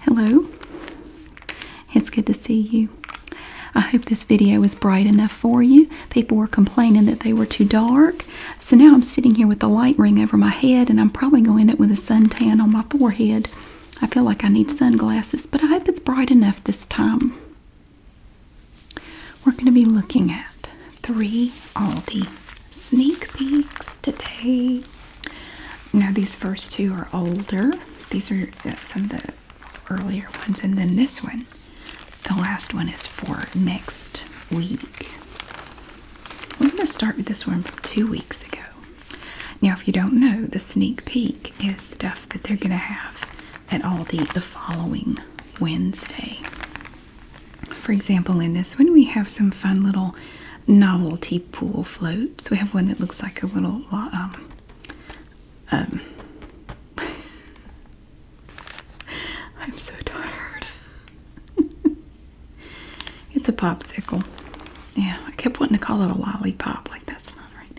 Hello. It's good to see you. I hope this video is bright enough for you. People were complaining that they were too dark. So now I'm sitting here with the light ring over my head and I'm probably going to with a suntan on my forehead. I feel like I need sunglasses, but I hope it's bright enough this time. We're going to be looking at three Aldi sneak peeks today. Now, these first two are older, these are uh, some of the earlier ones, and then this one, the last one, is for next week. We're going to start with this one from two weeks ago. Now, if you don't know, the sneak peek is stuff that they're going to have at Aldi the following Wednesday. For example, in this one, we have some fun little novelty pool floats. We have one that looks like a little um, um I'm so tired. it's a popsicle. Yeah, I kept wanting to call it a lollipop. Like that's not right.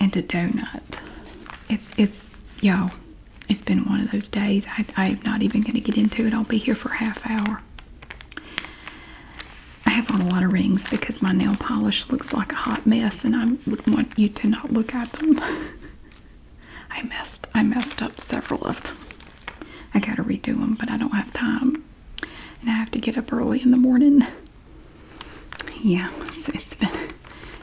And a donut. It's it's y'all. It's been one of those days. I I'm not even gonna get into it. I'll be here for a half hour. I have on a lot of rings because my nail polish looks like a hot mess and I would want you to not look at them. I messed I messed up several of them. I got to redo them, but I don't have time. And I have to get up early in the morning. Yeah, it's been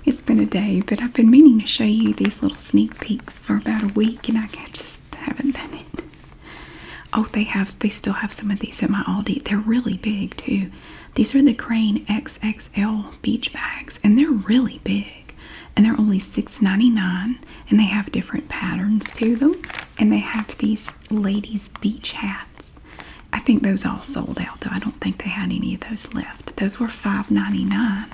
it's been a day, but I've been meaning to show you these little sneak peeks for about a week and I just haven't done it. Oh, they have they still have some of these at my Aldi. They're really big too. These are the Crane XXL beach bags, and they're really big. And they're only six ninety nine. And they have different patterns to them. And they have these ladies' beach hats. I think those all sold out though. I don't think they had any of those left. Those were five ninety nine.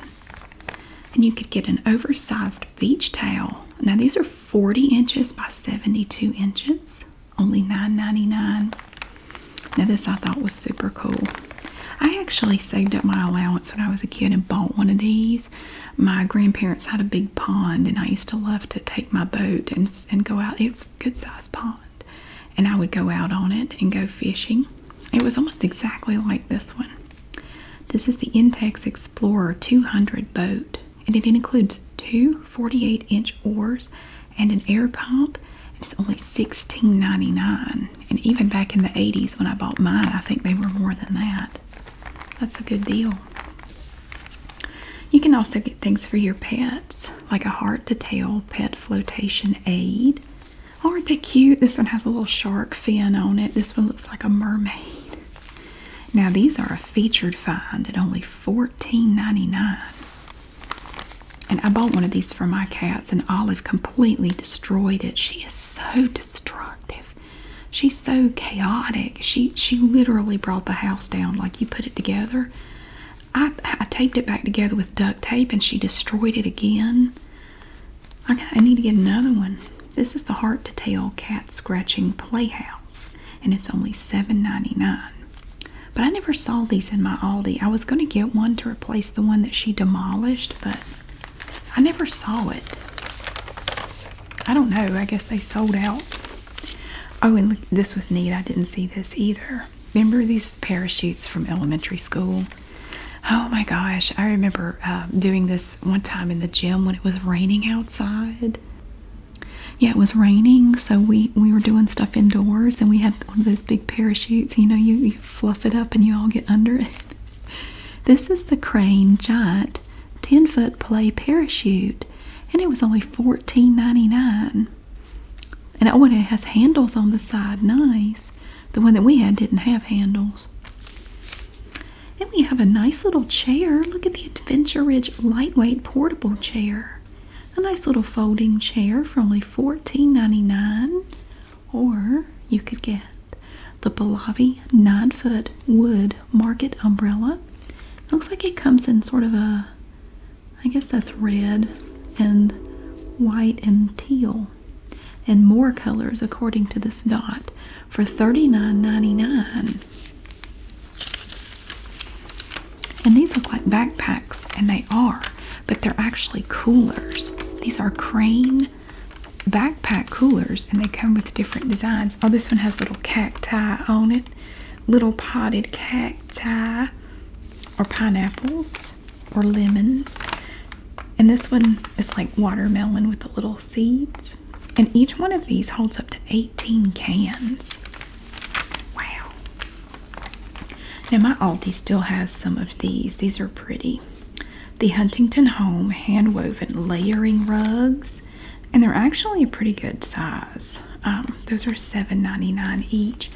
And you could get an oversized beach towel. Now these are 40 inches by 72 inches, only $9.99. Now this I thought was super cool. I actually saved up my allowance when I was a kid and bought one of these. My grandparents had a big pond and I used to love to take my boat and, and go out. It's a good sized pond. And I would go out on it and go fishing. It was almost exactly like this one. This is the Intex Explorer 200 boat, and it includes two 48 inch oars and an air pump. It's only $16.99. And even back in the 80s when I bought mine, I think they were more than that. That's a good deal. You can also get things for your pets, like a hard to tail pet flotation aid. Aren't they cute? This one has a little shark fin on it. This one looks like a mermaid. Now these are a featured find at only $14.99. And I bought one of these for my cats, and Olive completely destroyed it. She is so destructive. She's so chaotic. She she literally brought the house down like you put it together. I taped it back together with duct tape and she destroyed it again. I need to get another one. This is the Heart to Tail Cat Scratching Playhouse, and it's only $7.99. But I never saw these in my Aldi. I was going to get one to replace the one that she demolished, but I never saw it. I don't know. I guess they sold out. Oh, and this was neat. I didn't see this either. Remember these parachutes from elementary school? Oh my gosh, I remember um, doing this one time in the gym when it was raining outside. Yeah, it was raining, so we we were doing stuff indoors, and we had one of those big parachutes. You know, you you fluff it up, and you all get under it. This is the Crane Giant 10 foot play parachute, and it was only $14.99. And oh, it has handles on the side. Nice. The one that we had didn't have handles. And we have a nice little chair. Look at the Adventure Ridge lightweight portable chair. A nice little folding chair for only $14.99. Or you could get the Bellavi 9 foot wood market umbrella. looks like it comes in sort of a, I guess that's red and white and teal and more colors according to this dot for $39.99. And these look like backpacks, and they are, but they're actually coolers. These are crane backpack coolers, and they come with different designs. Oh, this one has little cacti on it, little potted cacti, or pineapples, or lemons. And this one is like watermelon with the little seeds. And each one of these holds up to 18 cans. Wow. Now, my Aldi still has some of these. These are pretty. The Huntington Home hand woven layering rugs. And they're actually a pretty good size. Um, those are 7.99 each.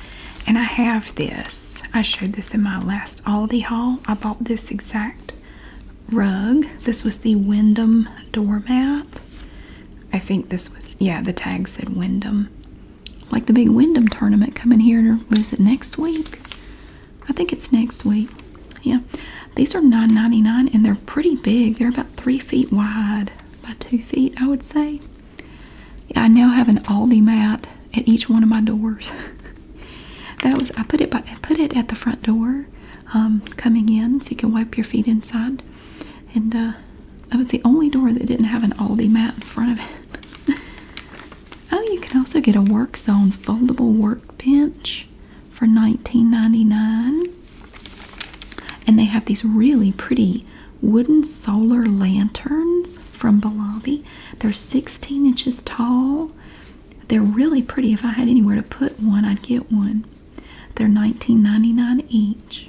And I have this. I showed this in my last Aldi haul. I bought this exact rug. This was the Wyndham doormat. I think this was, yeah, the tag said Wyndham. Like the big Wyndham tournament coming here, to, was it next week? I think it's next week. Yeah. These are nine ninety nine and they're pretty big. They're about three feet wide by two feet, I would say. I now have an Aldi mat at each one of my doors. that was I put it by I put it at the front door um, coming in so you can wipe your feet inside. And uh, that was the only door that didn't have an Aldi mat in front of it. oh, you can also get a work zone foldable workbench for $19.99. And they have these really pretty wooden solar lanterns from Bellavi. They're 16 inches tall they're really pretty. If I had anywhere to put one, I'd get one. They're $19.99 each.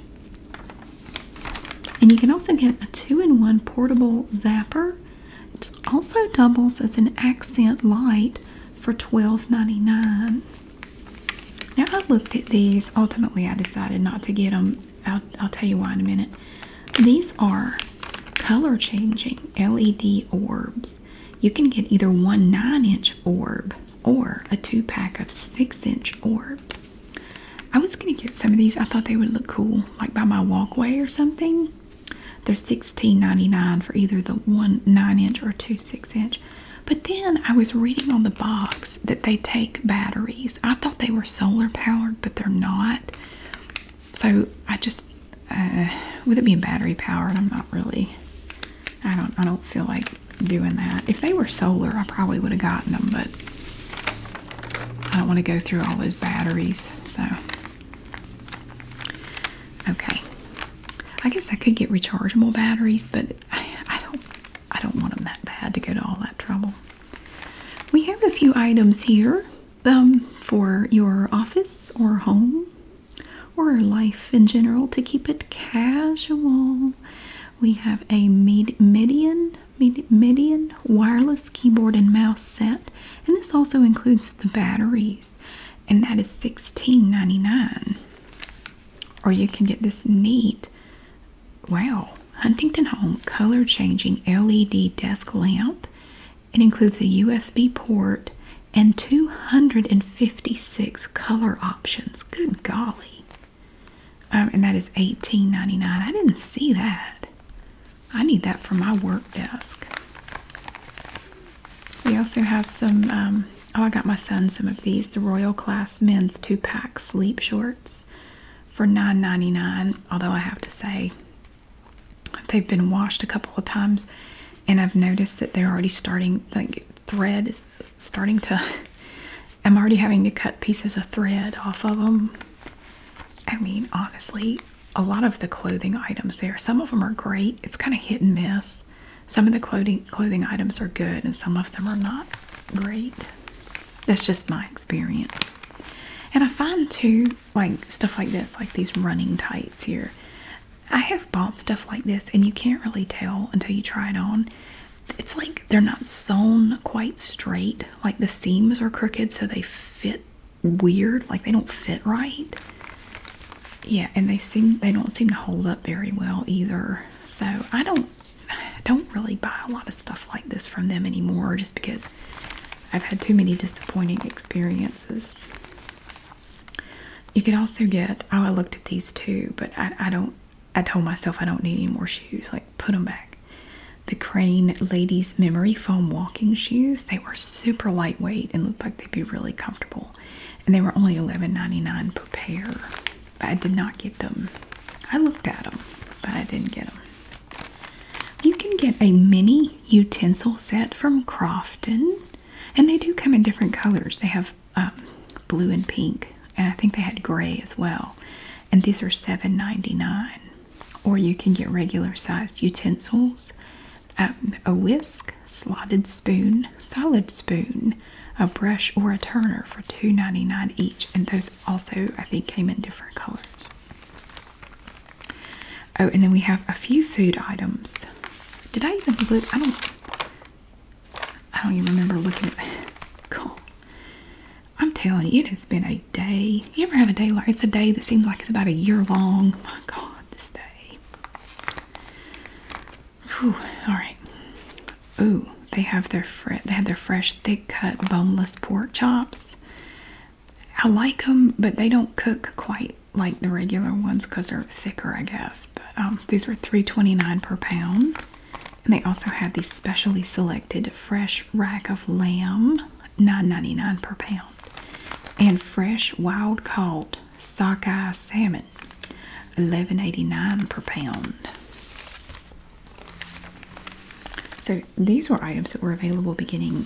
And you can also get a two-in-one portable zapper. It also doubles as an accent light for $12.99. Now I looked at these. Ultimately, I decided not to get them. I'll, I'll tell you why in a minute. These are color changing LED orbs. You can get either one nine inch orb or a two pack of six inch orbs. I was going to get some of these. I thought they would look cool, like by my walkway or something. They're $16.99 for either the one nine inch or two six inch. But then I was reading on the box that they take batteries. I thought they were solar powered, but they're not so I just uh, with it being battery powered, I'm not really. I don't. I don't feel like doing that. If they were solar, I probably would have gotten them, but I don't want to go through all those batteries. So okay, I guess I could get rechargeable batteries, but I, I don't. I don't want them that bad to go to all that trouble. We have a few items here um, for your office or home or life in general to keep it casual. We have a Med Median Med Median wireless keyboard and mouse set, and this also includes the batteries, and thats sixteen ninety nine. Or you can get this neat, wow, Huntington Home color changing LED desk lamp it includes a USB port and 256 color options. Good golly. Um, and that is $18.99. I didn't see that. I need that for my work desk. We also have some, um, oh, I got my son some of these the Royal Class Men's Two Pack Sleep Shorts for $9.99. Although I have to say, they've been washed a couple of times and I've noticed that they're already starting like thread is starting to I'm already having to cut pieces of thread off of them. I mean honestly a lot of the clothing items there some of them are great it's kind of hit and miss some of the clothing clothing items are good and some of them are not great that's just my experience and I find too like stuff like this, like these running tights here. I have bought stuff like this, and you can't really tell until you try it on. It's like they're not sewn quite straight, like the seams are crooked, so they fit weird, like they don't fit right. Yeah, and they seem they don't seem to hold up very well either. So I don't I don't really buy a lot of stuff like this from them anymore just because I've had too many disappointing experiences. You can also get, oh, I looked at these too, but I, don't, I told myself I don't need any more shoes. Like, put them back. The Crane Ladies Memory Foam Walking Shoes. They were super lightweight and looked like they'd be really comfortable. And they were only $11.99 per pair. But I did not get them. I looked at them, but I didn't get them. You can get a mini utensil set from Crofton. And they do come in different colors. They have um, blue and pink, and I think they had gray as well. And these are $7.99. Or you can get regular sized utensils, um, a whisk, slotted spoon, solid spoon, a brush, or a turner for $2.99 each. And those also, I think, came in different colors. Oh, and then we have a few food items. Did I even look? I don't. I don't even remember looking at. Cool. I'm telling you, it has been a day. You ever have a day like it's a day that seems like it's about a year long? My God, this day. Whew, all right. Ooh, they have their fre they have their fresh, thick cut, boneless pork chops. I like them, but they don't cook quite like the regular ones because they're thicker, I guess. But um, these were three twenty-nine per pound. And they also had the specially selected fresh rack of lamb, nine ninety-nine per pound. And fresh wild caught sockeye salmon, eleven eighty-nine per pound. So these were items that were available beginning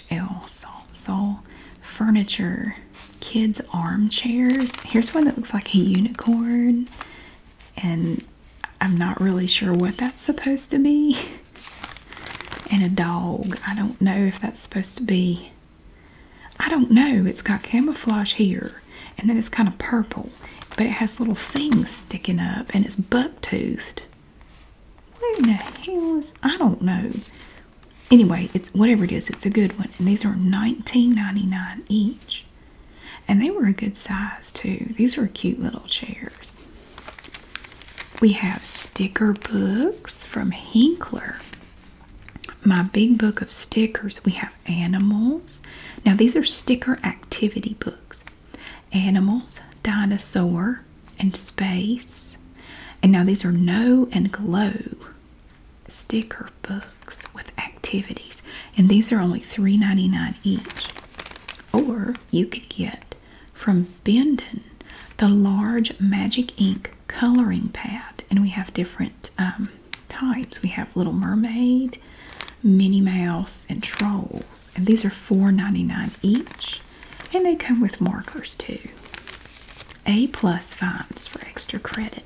HL Salt Soul Furniture Kids Armchairs. Here's one that looks like a unicorn, and I'm not really sure what that's supposed to be. And a dog. I don't know if that's supposed to be. I don't know. It's got camouflage here, and then it's kind of purple, but it has little things sticking up, and it's buck toothed. Where the hell is I don't know. Anyway, it's whatever it is, it's a good one. And these are 19.99 each. And they were a good size too. These were cute little chairs. We have sticker books from Hinkler. My big book of stickers. We have animals. Now, these are sticker activity books. Animals, dinosaur, and space. And now these are no and glow sticker books with activities. And these are only $3.99 each. Or you could get from Bendon the large magic ink coloring pad. And we have different um, types. We have Little Mermaid, Minnie Mouse, and Trolls. And these are $4.99 each and they come with markers too. A plus finds for extra credit.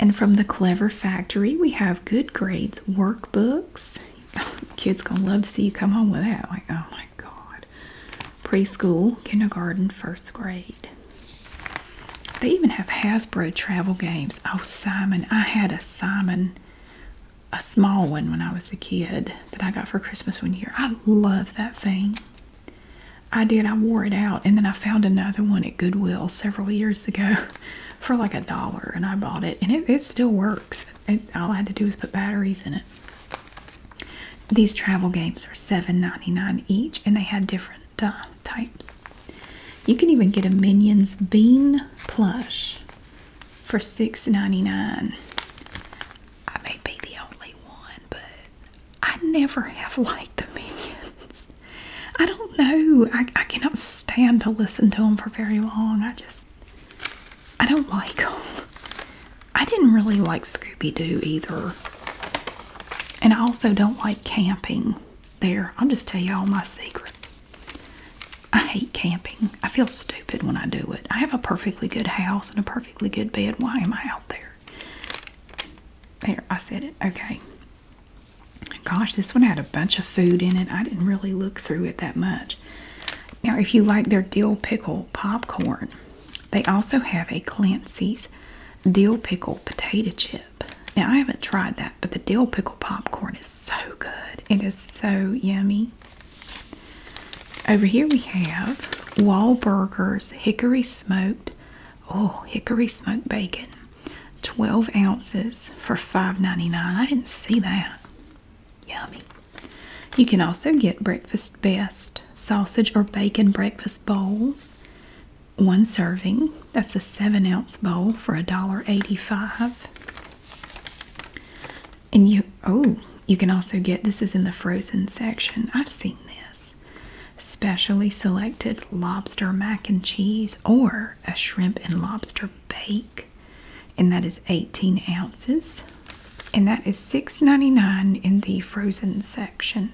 And from the Clever Factory, we have good grades workbooks. Kids gonna love to see you come home with that. Like, oh my god. Preschool, kindergarten, first grade. They even have Hasbro travel games. Oh Simon, I had a Simon, a small one when I was a kid that I got for Christmas one year. I love that thing. I did. I wore it out, and then I found another one at Goodwill several years ago for like a dollar, and I bought it, and it, still works. all I had to do was put batteries in it. These travel games are $7.99 each, and they had different uh, types. You can even get a Minions Bean plush for $6.99. I may be the only one, but I never have liked the Minions. I don't know. I, I cannot stand to listen to them for very long. I just, I don't like them. I didn't really like Scooby Doo either. And I also don't like camping. There, I'll just tell you all my secrets. I hate camping. I feel stupid when I do it. I have a perfectly good house and a per perfectly good bed. Why am I out there? There, I said it. Okay. Gosh, this one had a bunch of food in it. I didn't really look through it that much. Now, if you like their dill pickle popcorn, they also have a Clancy's dill pickle potato chip. Now, I haven't tried that, but the dill pickle popcorn is so good. It is so yummy. Over here we have Wahlburgers Hickory Smoked. Oh, hickory smoked bacon. 12 ounces for $5.99. I didn't see that. Yummy. You can also get Breakfast Best sausage or bacon breakfast bowls. One serving. That's a 7 ounce bowl for $1.85. And you, oh, you can also get this is in the frozen section. I've seen this. Specially selected lobster mac and cheese or a shrimp and lobster bake. And that is 18 ounces. And that is $6.99 in the frozen section.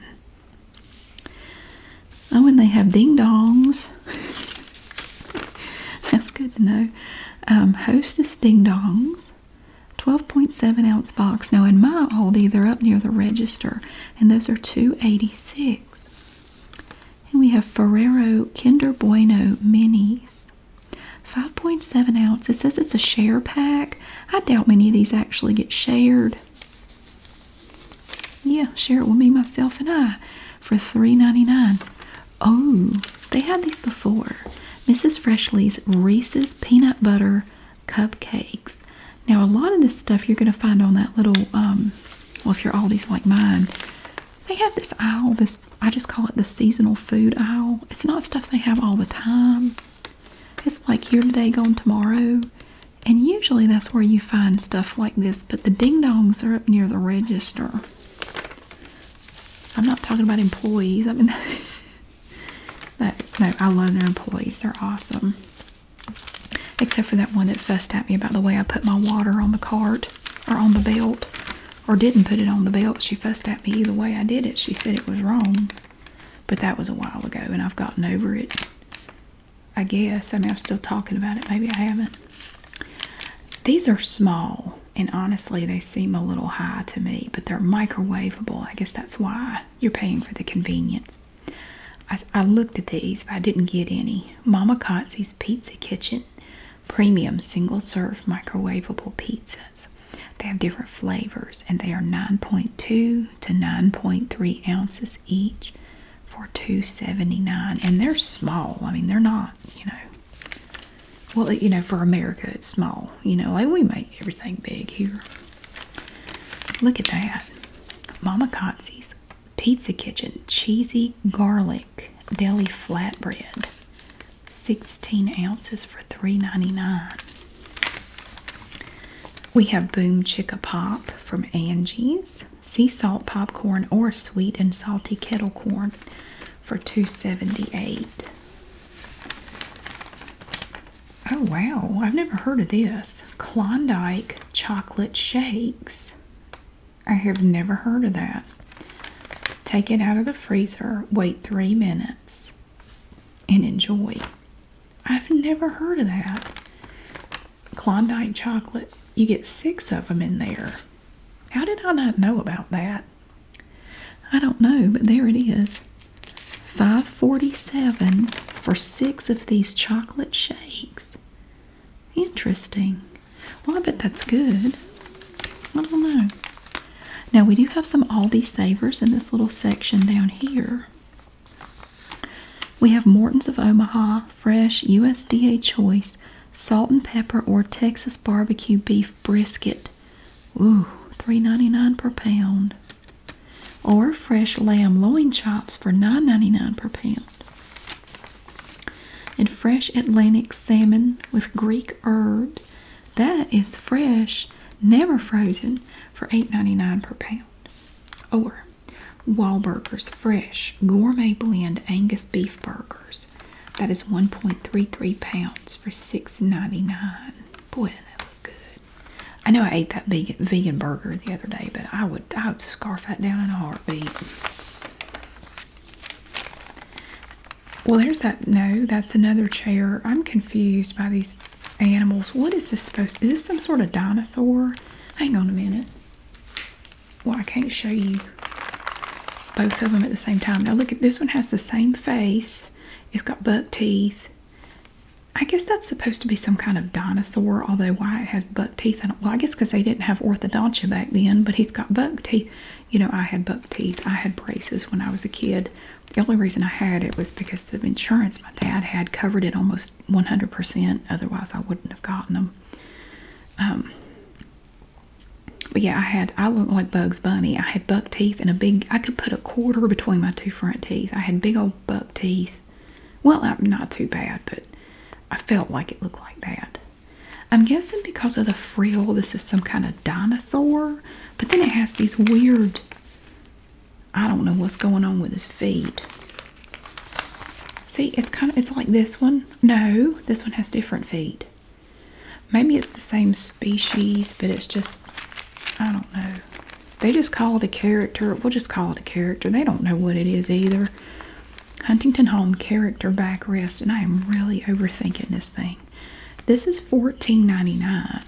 Oh, and they have ding dongs. That's good to know. Um, Hostess ding dongs 12.7 ounce box. Now in my Aldi, they're up near the register, and those are 286. And we have Ferrero Kinder Bueno Minis. 5.7 ounce. It says it's a share pack. I doubt many of these actually get shared. Yeah, share it with me, myself, and I for $3.99. Oh, they had these before. Mrs. Freshley's Reese's Peanut Butter Cupcakes. Now, a lot of this stuff you're going to find on that little, um, well, if you're Aldi's like mine, they have this aisle, this, I just call it the seasonal food aisle. It's not stuff they have all the time. It's like here today, gone tomorrow. And usually that's where you find stuff like this, but the ding dongs are up near the register. I'm not talking about employees. I mean, no, I love their employees. They're awesome. Except for that one that fussed at me about the way I put my water on the cart or on the belt or didn't put it on the belt. She fussed at me either way I did it. She said it was wrong. But that was a while ago and I've gotten over it. I guess. I mean, I'm still talking about it. Maybe I haven't. These are small and honestly they seem a little high to me but they're microwavable i guess that's why you're paying for the convenience i, looked at these but i didn't get any mama Kotze's pizza kitchen premium single serve microwavable pizzas they have different flavors and they are 9.2 to 9.3 ounces each for 279 and they're small i mean they're not you know well, you know, for America, it's small. You know, like we make everything big here. Look at that. Mama Kotze's Pizza Kitchen Cheesy Garlic Deli Flatbread. 16 ounces for $3.99. We have Boom Chicka Pop from Angie's. Sea salt popcorn or sweet and salty kettle corn for $2.78. Oh wow, I've never heard of this. Klondike chocolate shakes. I have never heard of that. Take it out of the freezer, wait three minutes, and enjoy. I've never heard of that. Klondike chocolate. You get six of them in there. How did I not know about that? I don't know, but there it is. 547 for six of these chocolate shakes. Interesting. Well, I bet that's good. I don't know. Now, we do have some Aldi Savers in this little section down here. We have Morton's of Omaha, fresh USDA choice, salt and pepper or Texas barbecue beef brisket Ooh, three ninety nine per pound. Or fresh lamb loin chops for nine ninety nine per pound. And fresh Atlantic salmon with Greek herbs. That is fresh, never frozen, for eight ninety nine per pound. Or Wahlburgers Fresh Gourmet Blend Angus Beef Burgers. That is 1.33 pounds for $6.99. Boy, that look good. I know I ate that vegan, vegan burger the other day, but I would I would scarf that down in a heartbeat. Well, there's that. No, that's another chair. I'm confused by these animals. What is this supposed? Is this some sort of dinosaur? Hang on a minute. Well, I can't show you both of them at the same time. Now look at this one has the same face. It's got buck teeth. I guess that's supposed to be some kind of dinosaur, although why it has buck teeth, I guess because they didn't have orthodontia back then, but he's got buck teeth. You know, I had buck teeth. I had braces when I was a kid. The only reason I had it was because the insurance my dad had covered it almost 100%, otherwise I wouldn't have gotten them. Um, but yeah, I had, I looked like Bugs Bunny. I had buck teeth and a big, I could put a quarter between my two front teeth. I had big old buck teeth. Well, I'm not too bad, but I felt like it looked like that. I'm guessing because of the frill, this is some kind of dinosaur, but then it has these weird, I don't know what's going on with his feet. See, it's kind of, it's like this one. No, this one has different feet. Maybe it's the same species, but it's just, I don't know. They just call it a character. We'll just call it a character. They don't know what it is either. Huntington Home Character Backrest, and I am really overthinking this thing. This is fourteen ninety-nine.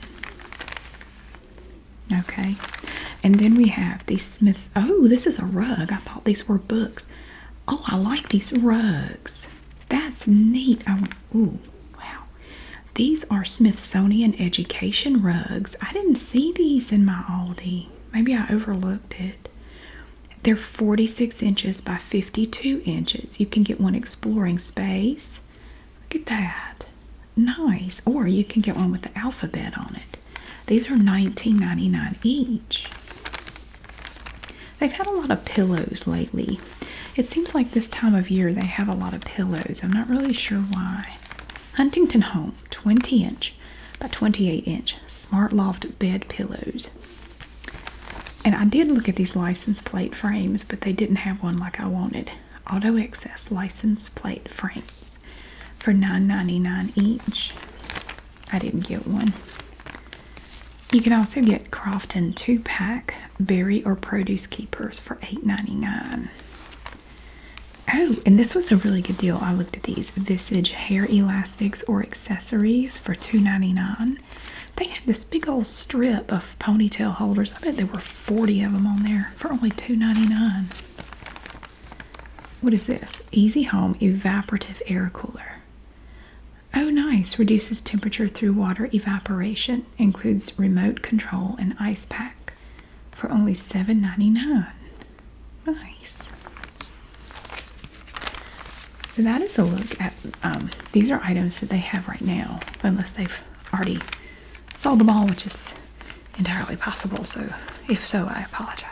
Okay. And then we have these Smiths. Oh, this is a rug. I thought these were books. Oh, I like these rugs. That's neat. Oh, wow. These are Smithsonian Education rugs. I didn't see these in my Aldi. Maybe I overlooked it. They're 46 inches by 52 inches. You can get one exploring space. Look at that. Nice. Or you can get one with the alphabet on it. These are $19.99 each. They've had a lot of pillows lately. It seems like this time of year they have a lot of pillows. I'm not really sure why. Huntington Home 20 inch by 28 inch smart loft bed pillows. And I did look at these license plate frames, but they didn't have one like I wanted. Auto Access license plate frames for $9.99 each. I didn't get one. You can also get Crofton 2 pack berry or produce keepers for eight ninety nine. Oh, and this was a really good deal. I looked at these Visage hair elastics or accessories for two ninety nine. They had this big old strip of ponytail holders. I bet there were 40 of them on there for only two ninety is this? Easy Home Evaporative Air Cooler. Oh, nice. Reduces temperature through water evaporation. Includes remote control and ice pack for only $7.99. Nice. So that is a look at, um, these are items that they have right now, unless they've already sold them all, which is entirely possible. So if so, I apologize.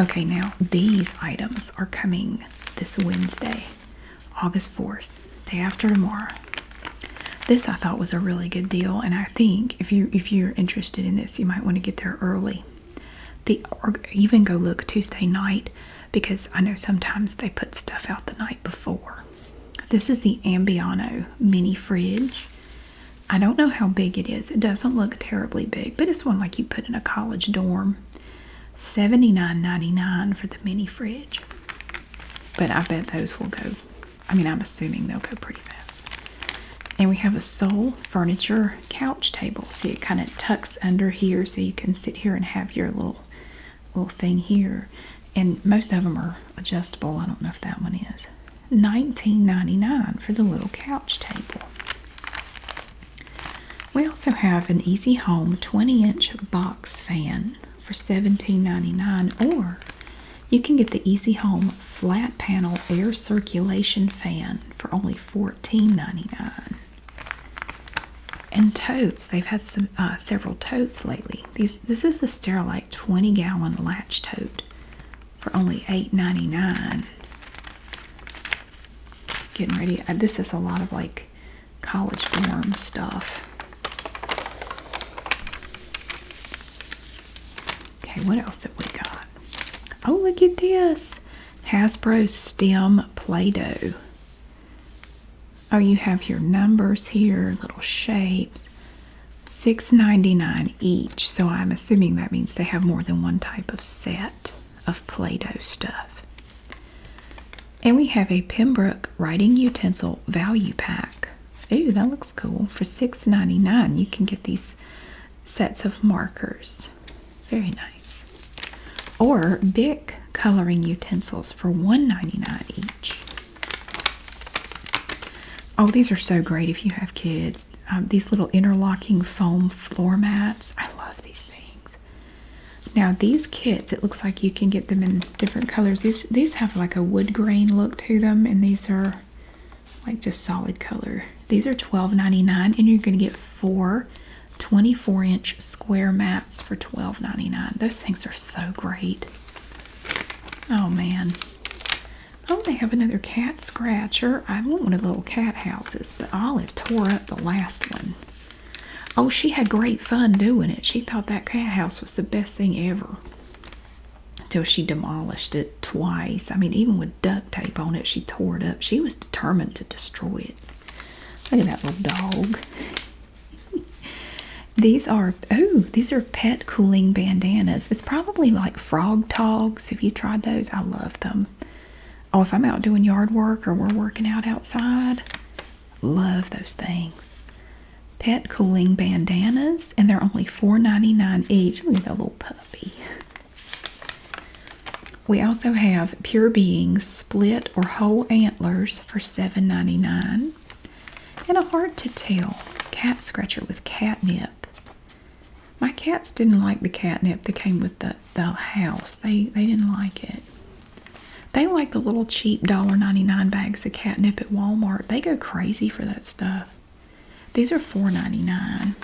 Okay, now these items are coming this Wednesday, August 4th, day after tomorrow. This I thought was a really good deal, and I think if you if you're interested in this, you might want to get there early. The or even go look Tuesday night because I know sometimes they put stuff out the night before. This is the Ambiano mini fridge. I don't know how big it is. It doesn't look terribly big, but it's one like you put in a college dorm. $79.99 for the mini fridge. But I bet those will go. I mean, I'm assuming they'll go pretty fast. And we have a sole furniture couch table. See, it kind of tucks under here so you can sit here and have your little little thing here. And most of them are adjustable. I don't know if that one is. $19.99 for the little couch table. We also have an Easy Home 20 inch box fan for $17.99, or you can get the Easy Home flat panel air circulation fan for only $14.99. And totes, they've had some uh, several totes lately. this is the Sterilite 20 gallon latch tote for only $8.99 getting ready. Uh, this is a lot of like college dorm stuff. Okay, what else have we got? Oh, look at this Hasbro STEM Play Doh. Oh, you have your numbers here, little shapes. Six ninety-nine each, so I'm assuming that means they have more than one type of set of Play Doh stuff. And we have a Pembroke Writing Utensil Value Pack. Ooh, that looks cool. For $6.99, you can get these sets of markers. Very nice. Or Bic Coloring Utensils for $1.99 each. Oh, these are so great if you have kids. Um, these little interlocking foam floor mats. I love these things. Now these kits, it looks like you can get them in different colors. These these have like a wood grain look to them, and these are like just solid color. These are twelve ninety nine, and you're going to get four 24 inch square mats for twelve ninety nine. Those things are so great. Oh man. Oh, they have another cat scratcher. I want one of the little cat houses, but Olive tore up the last one. Oh, she had great fun doing it. She thought that cat house was the best thing ever. Until she demolished it twice. I mean, even with duct tape on it, she tore it up. She was determined to destroy it. Look at that little dog. these are, oh, these are pet cooling bandanas. It's probably like frog togs. If you tried those? I love them. Oh, if I'm out doing yard work or we're working out outside, love those things. Pet cooling bandanas, and they're only four ninety nine each. Look at that little puppy. We also have Pure Beings split or whole antlers for seven ninety nine, And a hard to tell cat scratcher with catnip my cats didn't like the catnip that came with the, the house. They they didn't like it. They like the little cheap $1.99 bags of catnip at Walmart. They go crazy for that stuff. These are $4.99.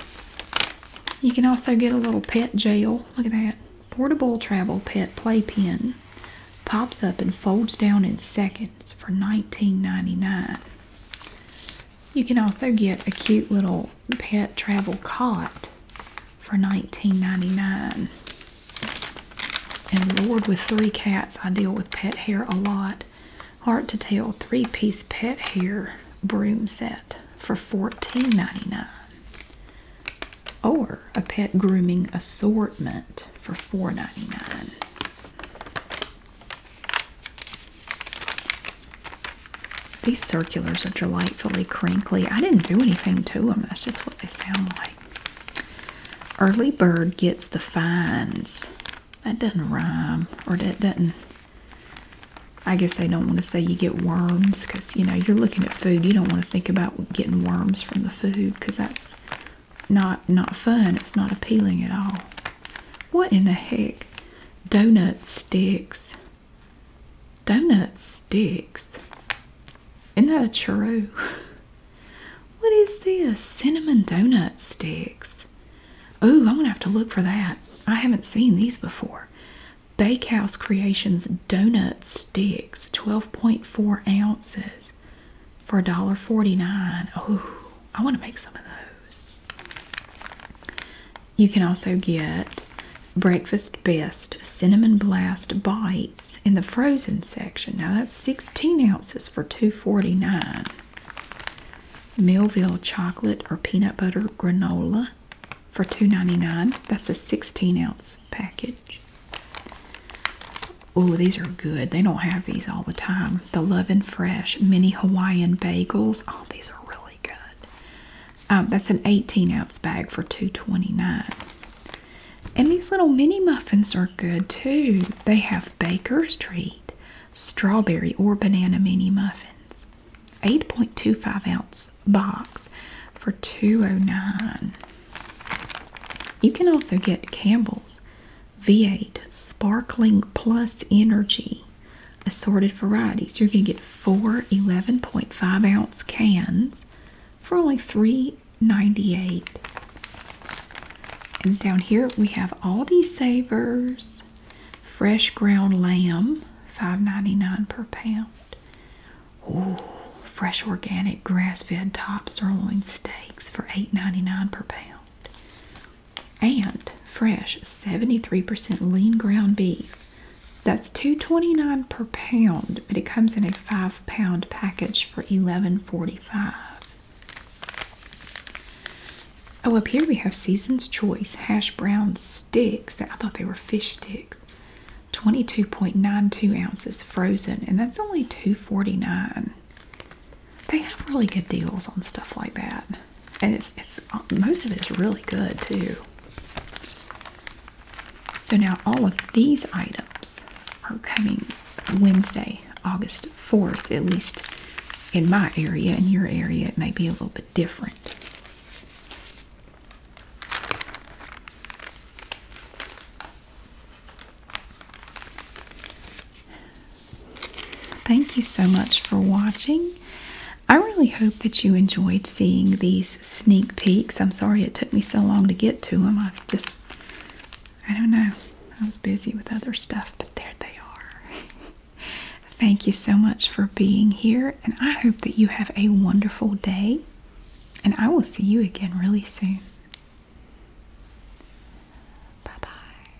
You can also get a little pet jail. Look at that. Portable travel pet play pen. Pops up and folds down in seconds for $19.99. You can also get a cute little pet travel cot for $19.99. And Lord, with three cats, I deal with pet hair a lot. Hard to tell, three piece pet hair broom set for $14.99. Or a pet grooming assortment for $4.99. These circulars are delightfully crinkly. I didn't do anything to them. That's just what they sound like. Early bird gets the fines. That doesn't rhyme, or that doesn't. I guess they don't want to say you get worms because you know you're looking at food. You don't want to think about getting worms from the food because that's not not fun. It's not appealing at all. What in the heck? donut sticks. Donut sticks? Isn't that a churro? what is this? Cinnamon donut sticks. Oh, I'm gonna have to look for that. I haven't seen these before. Bakehouse Creations donut sticks, 12.4 ounces for $1.49. Oh, I want to make some of those. You can also get Breakfast Best Cinnamon Blast Bites in the frozen section. Now that's 16 ounces for $2.49. Millville Chocolate or Peanut Butter Granola for $2.99. That's a 16 ounce package. Oh, these are good. They don't have these all the time. The Love and Fresh Mini Hawaiian Bagels. Oh, these are really really good. Um, that's an 18 ounce bag for 2.29. And these little mini muffins are good too. They have baker's treat, strawberry, or banana mini muffins. 8.25 ounce box for 2.09. You can also get Campbell's V8 Sparkling Plus Energy assorted varieties. You're going to get four 11.5 ounce cans for only $3.98. And down here we have Aldi Savers, fresh ground lamb, $5.99 per pound. Ooh, fresh organic grass-fed top sirloin steaks for $8.99 per pound and fresh 73% lean ground beef. That's 2.29 per pound, but it comes in a 5 pound package for 11.45. Oh, up here we have Season's Choice hash brown sticks. That I thought they were fish sticks. 22.92 ounces frozen, and that's only 2.49. They have really good deals on stuff like that and it's it's most of it is really good too. So now all of these items are coming Wednesday, August 4th, at least in my area. In your area, it may be a little bit different. Thank you so much for watching. I really hope that you enjoyed seeing these sneak peeks. I'm sorry it took me so long to get to them. I've just, I don't know, I was busy with other stuff, but there they are. Thank you so much for being here, and I hope that you have a wonderful day, and I will see you again really soon. Bye bye.